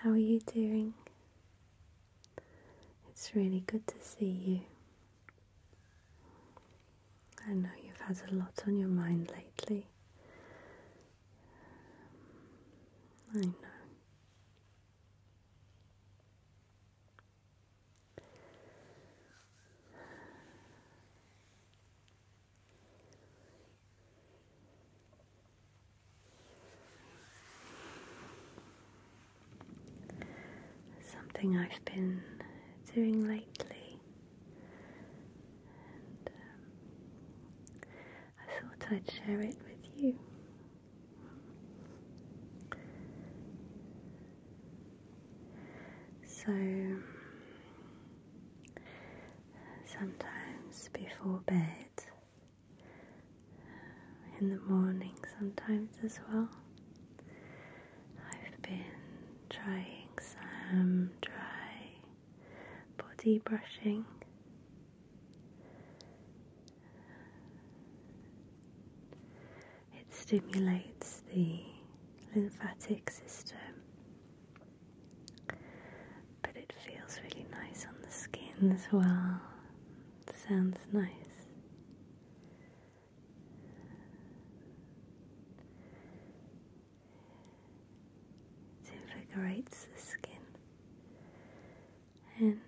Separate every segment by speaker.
Speaker 1: How are you doing? It's really good to see you. I know you've had a lot on your mind lately. I know. Something I've been doing lately, and um, I thought I'd share it with you. So, sometimes before bed, uh, in the morning, sometimes as well. I've been trying some dry body brushing. It stimulates the lymphatic system but it feels really nice on the skin as well. It sounds nice. It invigorates the skin and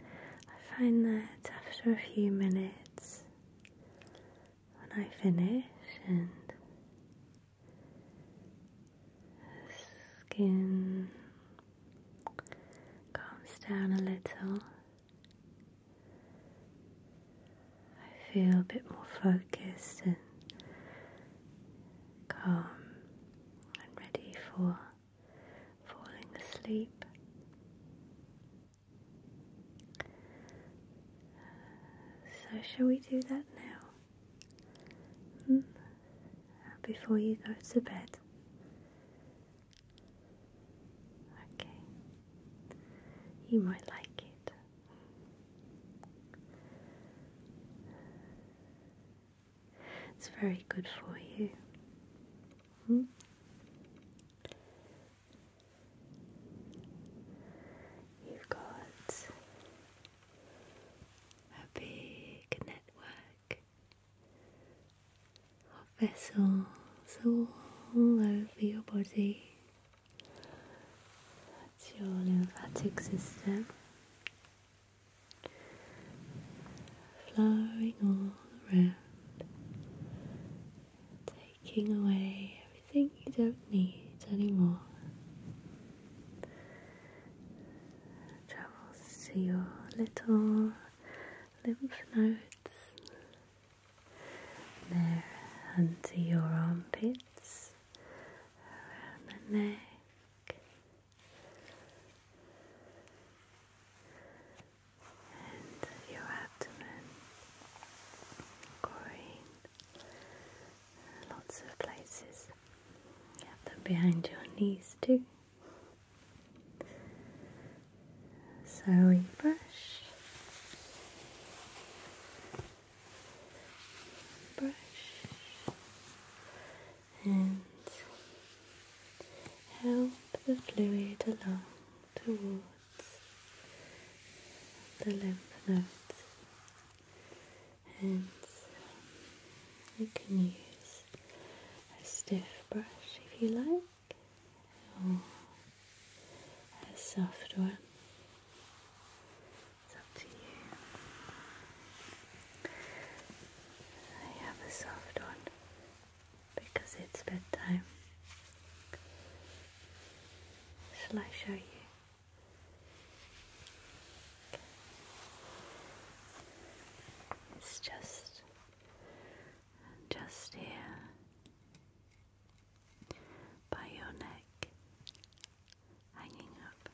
Speaker 1: I find that after a few minutes when I finish and skin calms down a little. I feel a bit more focused and calm and ready for falling asleep. So, shall we do that now? Hmm? Before you go to bed. Okay. You might like it. It's very good for you. Hmm? You've got a big network of vessels all over your body. That's your lymphatic system flowing all around taking away everything you don't need anymore. Travels to your little lymph nodes, there under your armpits, around the neck. and your abdomen, going lots of places. have them behind your knees too. So we brush, brush, and help the fluid along towards the lymph nodes, and um, you can use a stiff brush if you like, or a soft one. It's up to you. I have a soft one because it's bedtime. Shall I show you? It's just just here by your neck hanging up.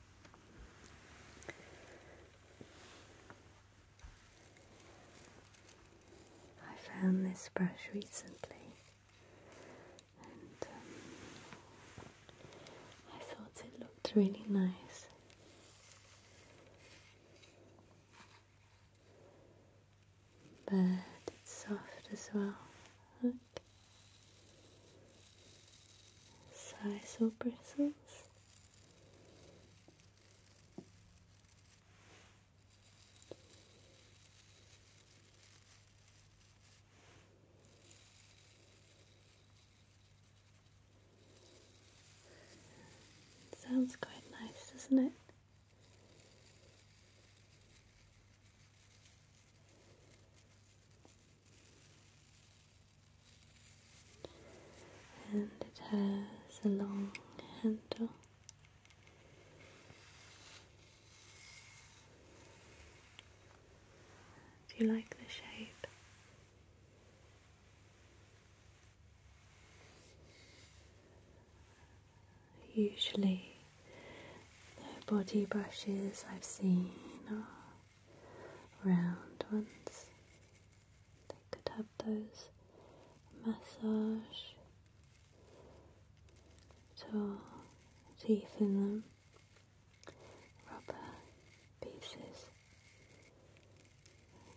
Speaker 1: I found this brush recently um, I thought it looked really nice. But it's soft as well. Look. Sisal bristles. Sounds quite nice, doesn't it? And it has a long handle. Do you like the shape? Usually, the body brushes I've seen are round ones. They could have those massage so teeth in them, rubber pieces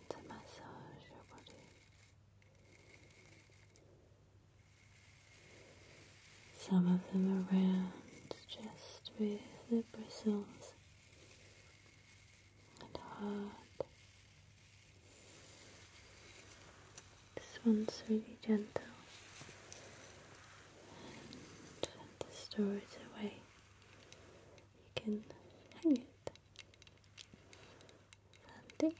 Speaker 1: to massage your body. Some of them are around just with the bristles and hard this one's really gentle and this door is away. You can hang it. Handy.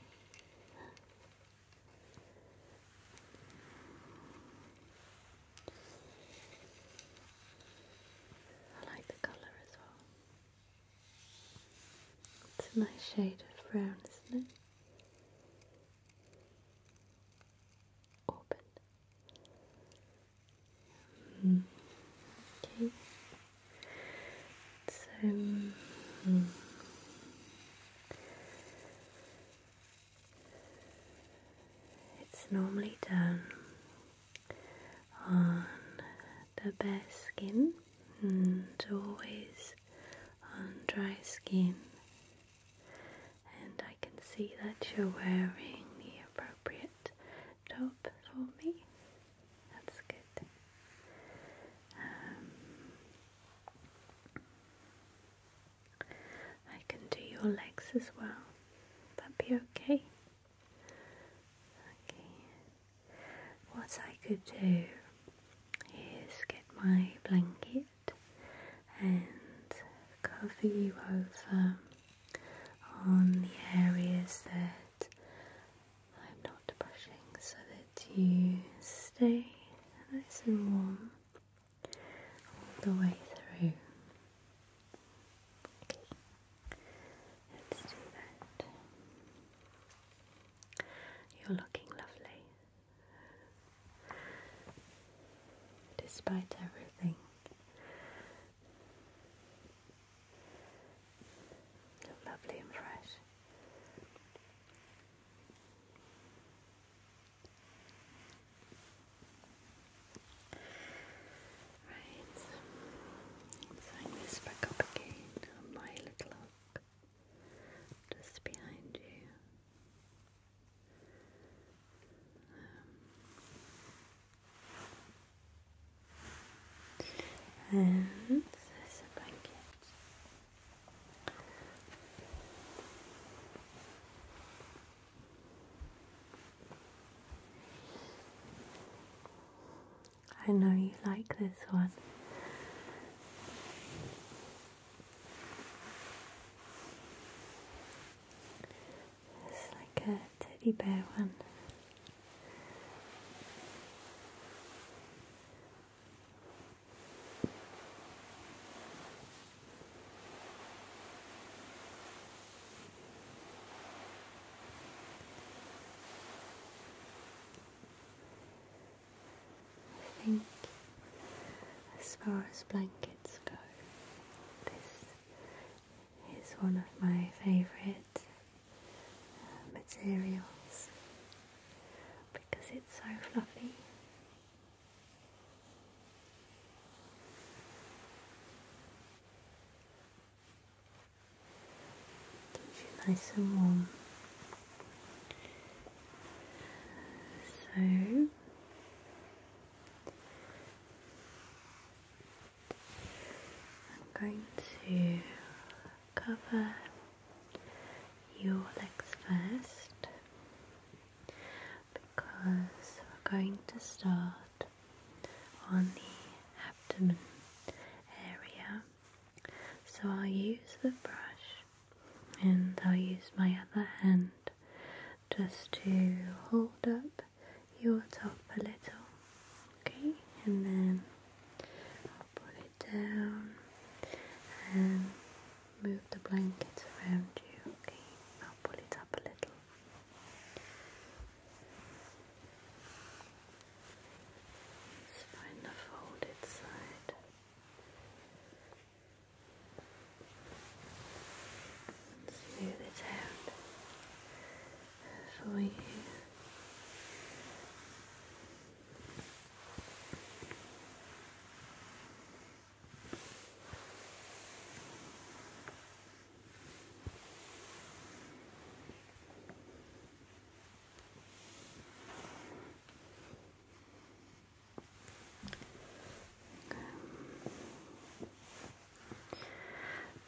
Speaker 1: I like the colour as well. It's a nice shade of brown, isn't it? open. Okay. So hmm. it's normally done on the bare skin and always on dry skin, and I can see that you're wearing the appropriate top for me. That's good. Um, I can do your legs as well. Would that be okay? Okay. What I could do is get my blanket and cover you over on the areas that I'm not brushing so that you stay nice and warm all the way through. Okay, let's do that. You're looking lovely despite everything. Look lovely and fresh. Right, let's hang this back up again my little hook just behind you. Um, and there's a blanket. I know you like this one. It's like a teddy bear one. I think as far as blankets go, this is one of my favourite uh, materials because it's so fluffy. nice and warm so I'm going to cover your legs first because we're going to start on the abdomen area so I'll use the brush and I'll use my other hand just to hold up your top a little. Okay, and then I'll put it down and move the blankets around you. Okay, I'll pull it up a little. Let's find the folded side. Smooth it out for you. Good.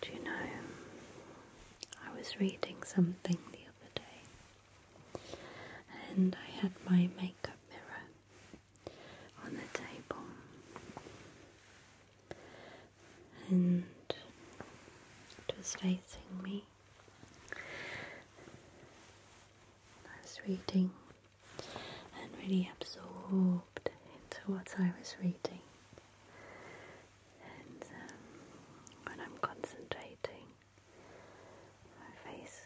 Speaker 1: Do you know, I was reading something the other day and I had my makeup mirror on the table and it was facing me I was reading and really absorbed into what I was reading. And um, when I'm concentrating, my face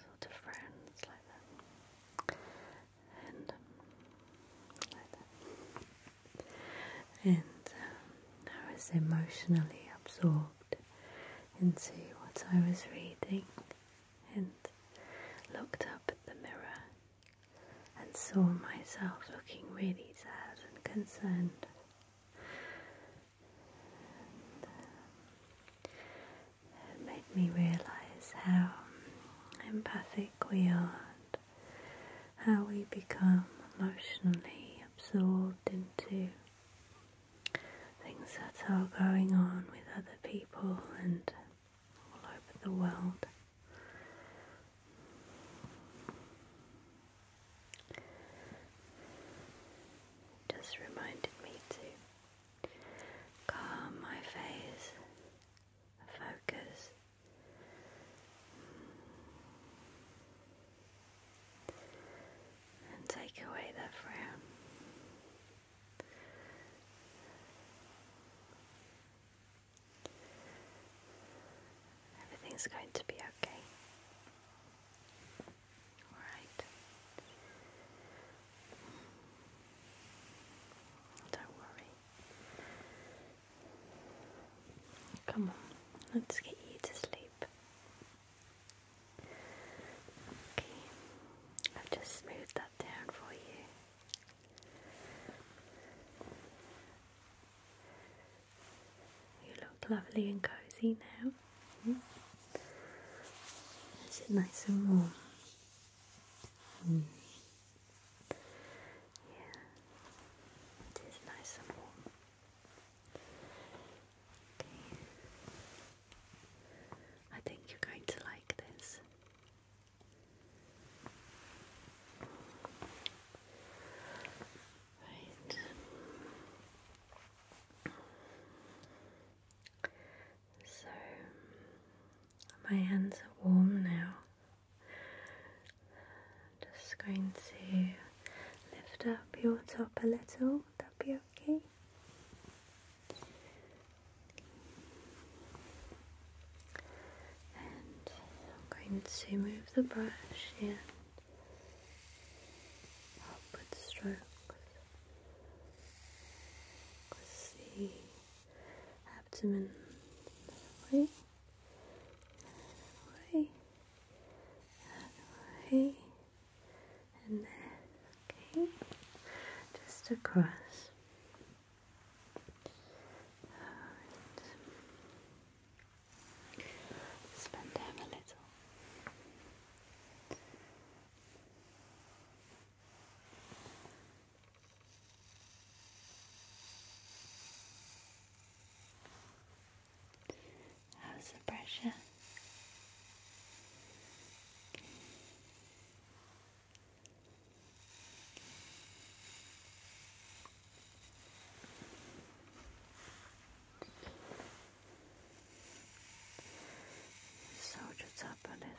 Speaker 1: sort of frowns like that, and um, um, I was emotionally absorbed into what I was reading and looked up at the mirror and saw myself looking really sad and concerned. Uh, it made me realise how empathic we are how we become emotionally absorbed into things that are going on with other people and all over the world. just reminded me to calm my face, focus and take away that frown. Everything's going to be okay. Alright. Don't worry. Come on, let's get you to sleep. Okay, I've just smoothed that down for you. You look lovely and cozy now. Hmm? Is it nice and warm? Hmm. Yeah, it is nice and warm. I think you're going to like this. Right. So my hands are warm now. I'm just going to lift up your top a little. Would that be okay? And I'm going to move the brush in upward strokes across abdomen. That way, that way and there, okay, just across. Alright, down a little. How's the pressure? Soldier up on his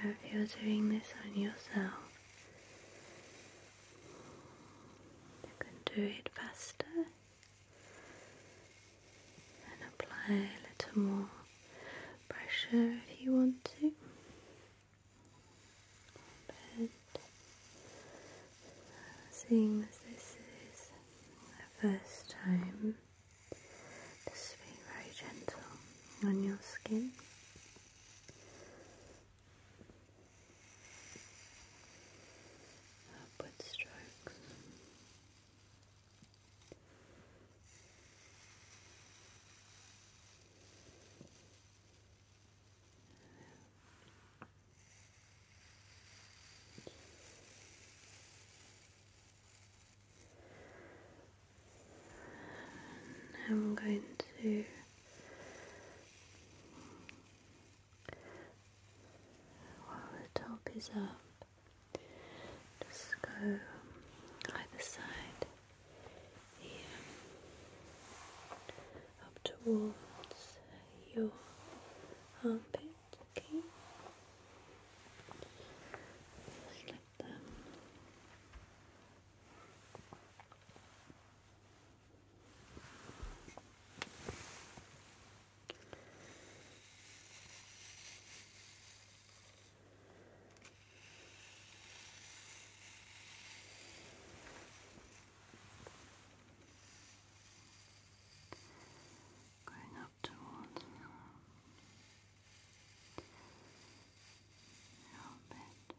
Speaker 1: I hope you're doing this on yourself, you can do it faster and apply a little more pressure if you want to. But seeing as this is the first time, just being very gentle on your skin. Upward strokes. Now I'm going to while the top is up, just go either side here up towards your armpit, okay? Just like that. Going up towards your armpit. Your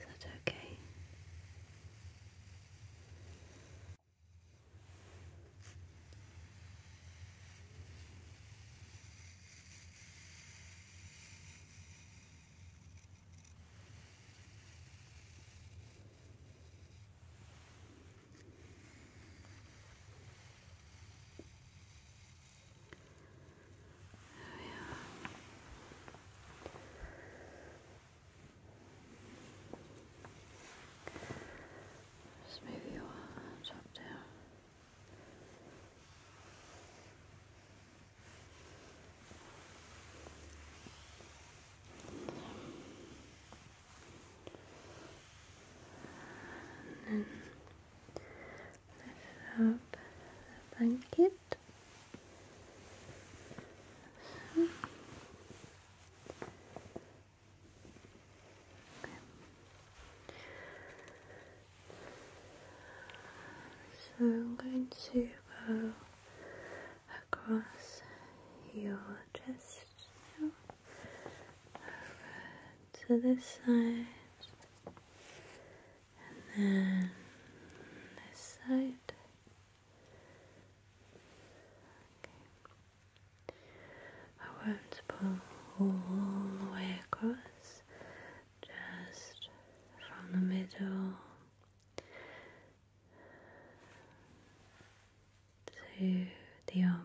Speaker 1: Is that okay? Just move your arms up down. And then lift up the blanket. So I'm going to go across your chest now, over to this side, and then this side. I won't pull all the way across, just from the middle to the armpit.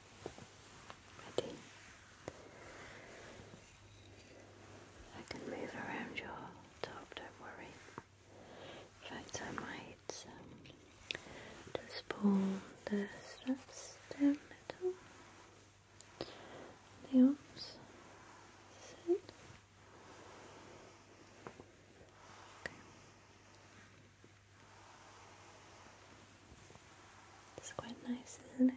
Speaker 1: Ready? I can move around your top, don't worry. In fact, I might um, just pull the straps a little. The arms. Sit. It's quite nice, isn't it?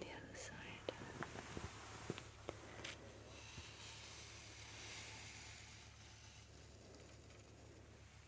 Speaker 1: The other side. Good.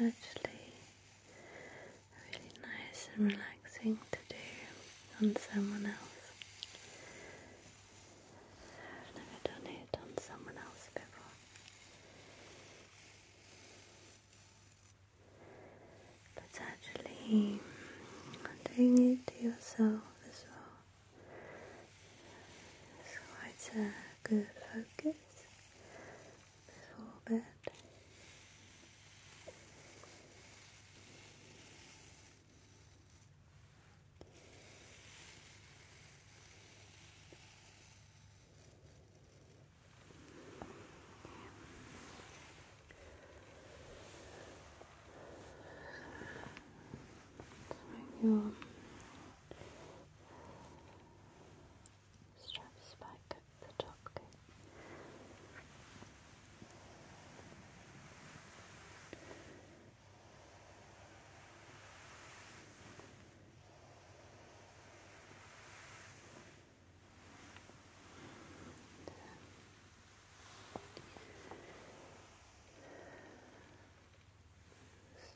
Speaker 1: It's actually really nice and relaxing to do on someone else. i never done it on someone else before. But actually, doing it to yourself as well is quite a good focus full bed. Okay. your straps back the top.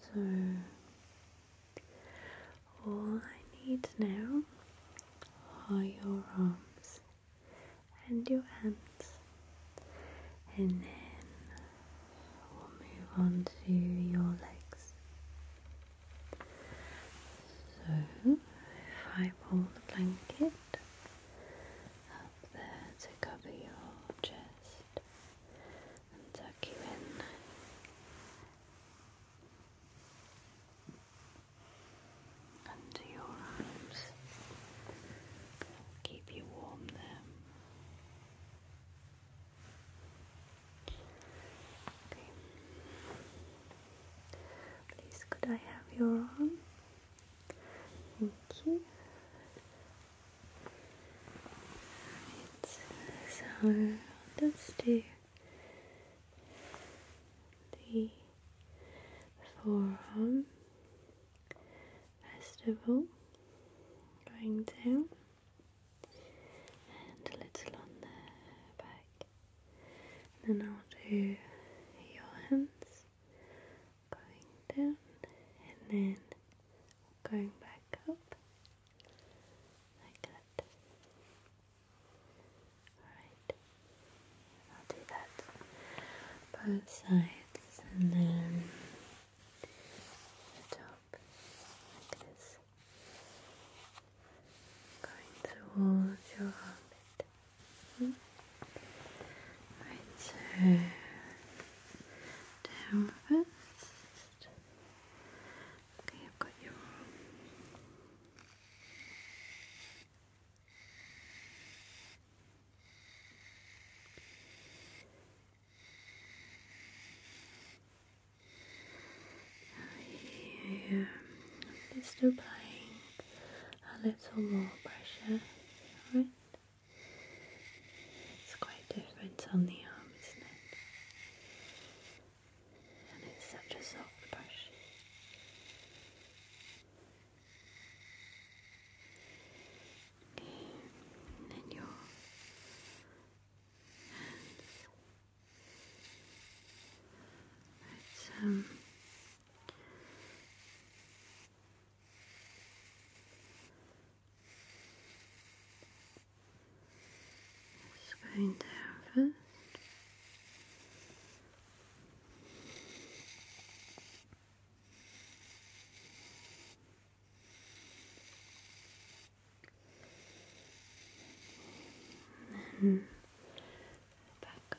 Speaker 1: So all I need now are your arms and your hands, and then we'll move on to your legs. So, if I pull the blanket up there to cover your chest and tuck you in, under your arms. keep you warm there. Okay. Please could I have your arm? Thank you. Right. So i the forearm festival, going down and a little on the back and then I'll do your hands going down and then going back up like that. Alright. I'll do that both sides and then the top like this. Going towards your armpit. Hmm? Right, so down first. Okay, I've got your arm. just applying a little more pressure. Alright. It's quite different on the arm, isn't it? and it's such a soft brush. Okay, then your hands. let um just going down first. then back up.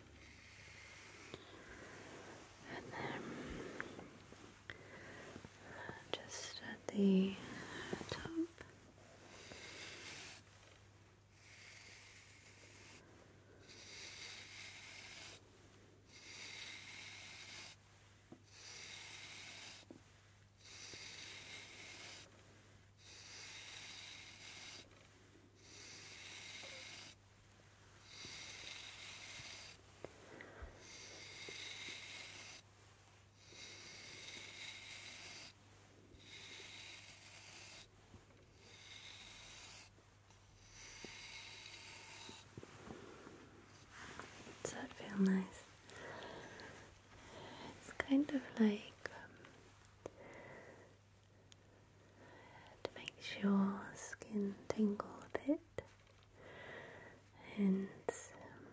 Speaker 1: and then just at the top. Does that feel nice? It's kind of like um, to make sure skin tingle a bit and um,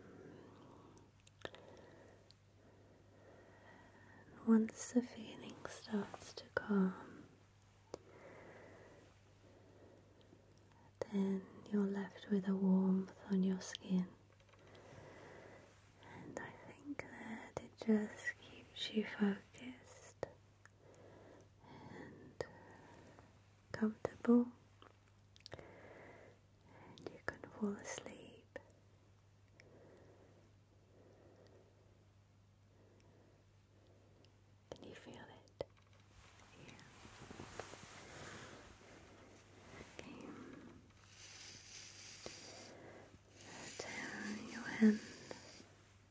Speaker 1: once the feeling starts to come, then you're left with a warmth on your skin, and I think that it just keeps you focused and comfortable, and you can fall asleep. Can you feel it? Okay. Now your hand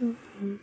Speaker 1: and your arms.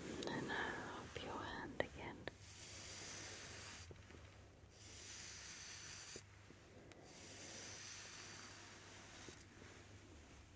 Speaker 1: And then uh, up your hand again.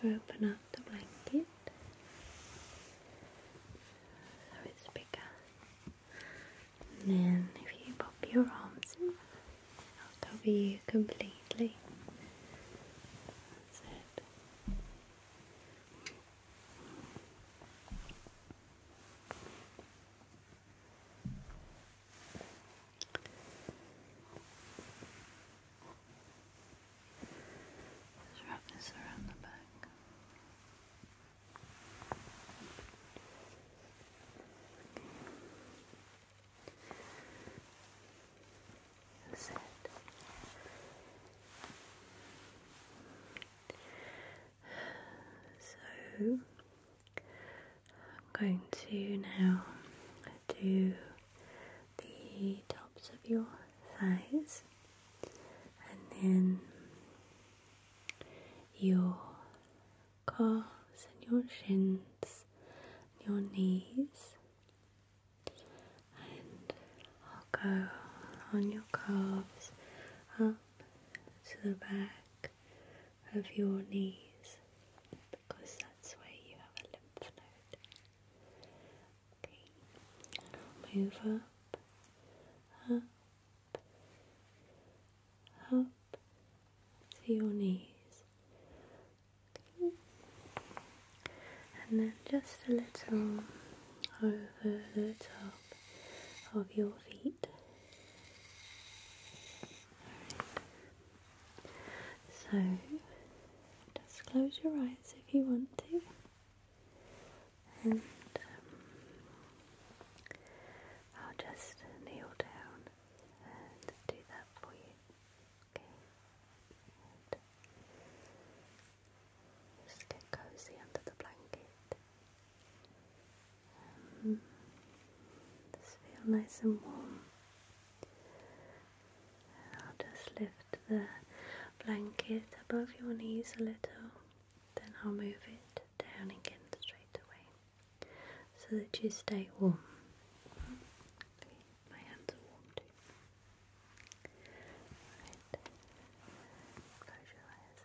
Speaker 1: So going to open up the blanket so it's bigger. And then if you pop your arms in, I'll cover you completely. That's it. wrap this around the back. So I'm going to now do the tops of your thighs and then your calves and your shins, and your knees, and I'll go on your calves up to the back of your knees because that's where you have a lymph node. Okay, move up, up, up to your knees and then just a little over the top of your feet. So just close your eyes if you want to. And um, I'll just kneel down and do that for you. Just get cozy under the blanket. Um, just feel nice and warm. I'll just lift the blanket above your knees a little, then I'll move it down again straight away so that you stay warm. My hands are warm too. Alright. Close your eyes.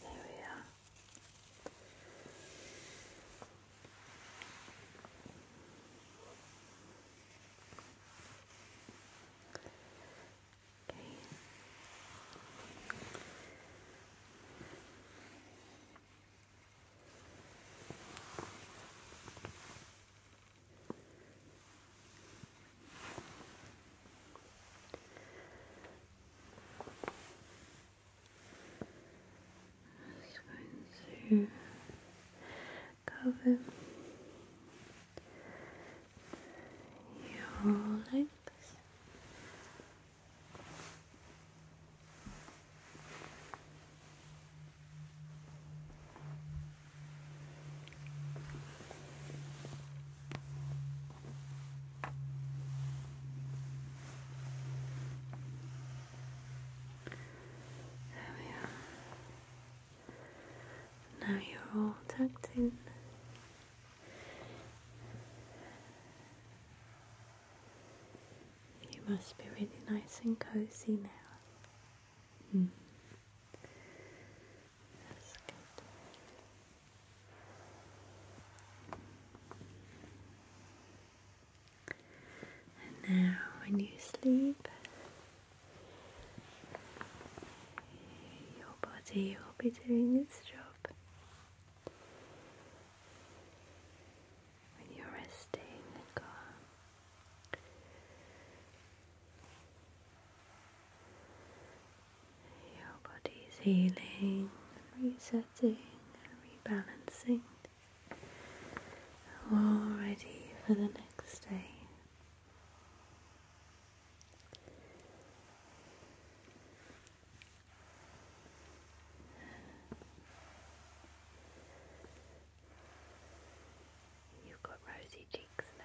Speaker 1: There we are. Okay. Okay. Just going to cover your legs. There we are. Now you're all tucked in. You must be really nice and cozy now. Hmm. And now, when you sleep, your body will be doing its job. When you're resting and calm, your body is healing and resetting and rebalancing all ready for the next day. You've got rosy cheeks now.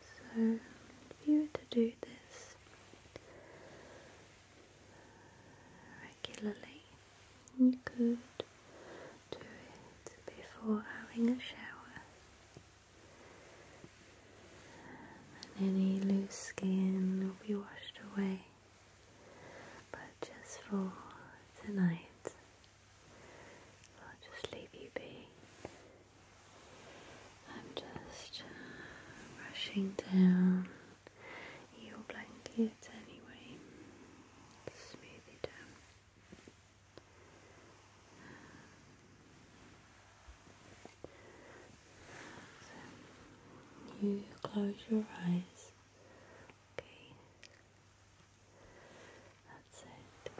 Speaker 1: So, if you were to do this regularly, you could do it before having a shower. And any loose skin will be washed away but just for tonight, I'll just leave you be. I'm just uh, down your blanket anyway, smooth it down you close your eyes. Okay. That's it. Good.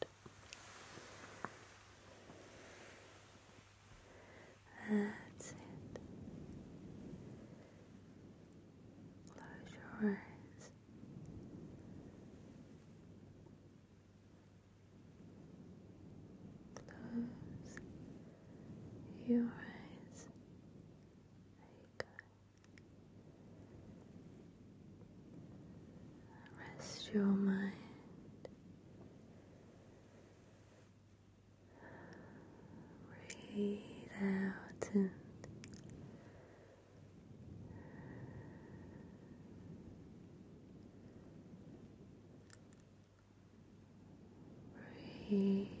Speaker 1: Good. That's it. Close your eyes. Close your eyes. Rest your mind. Breathe out and breathe out. Good.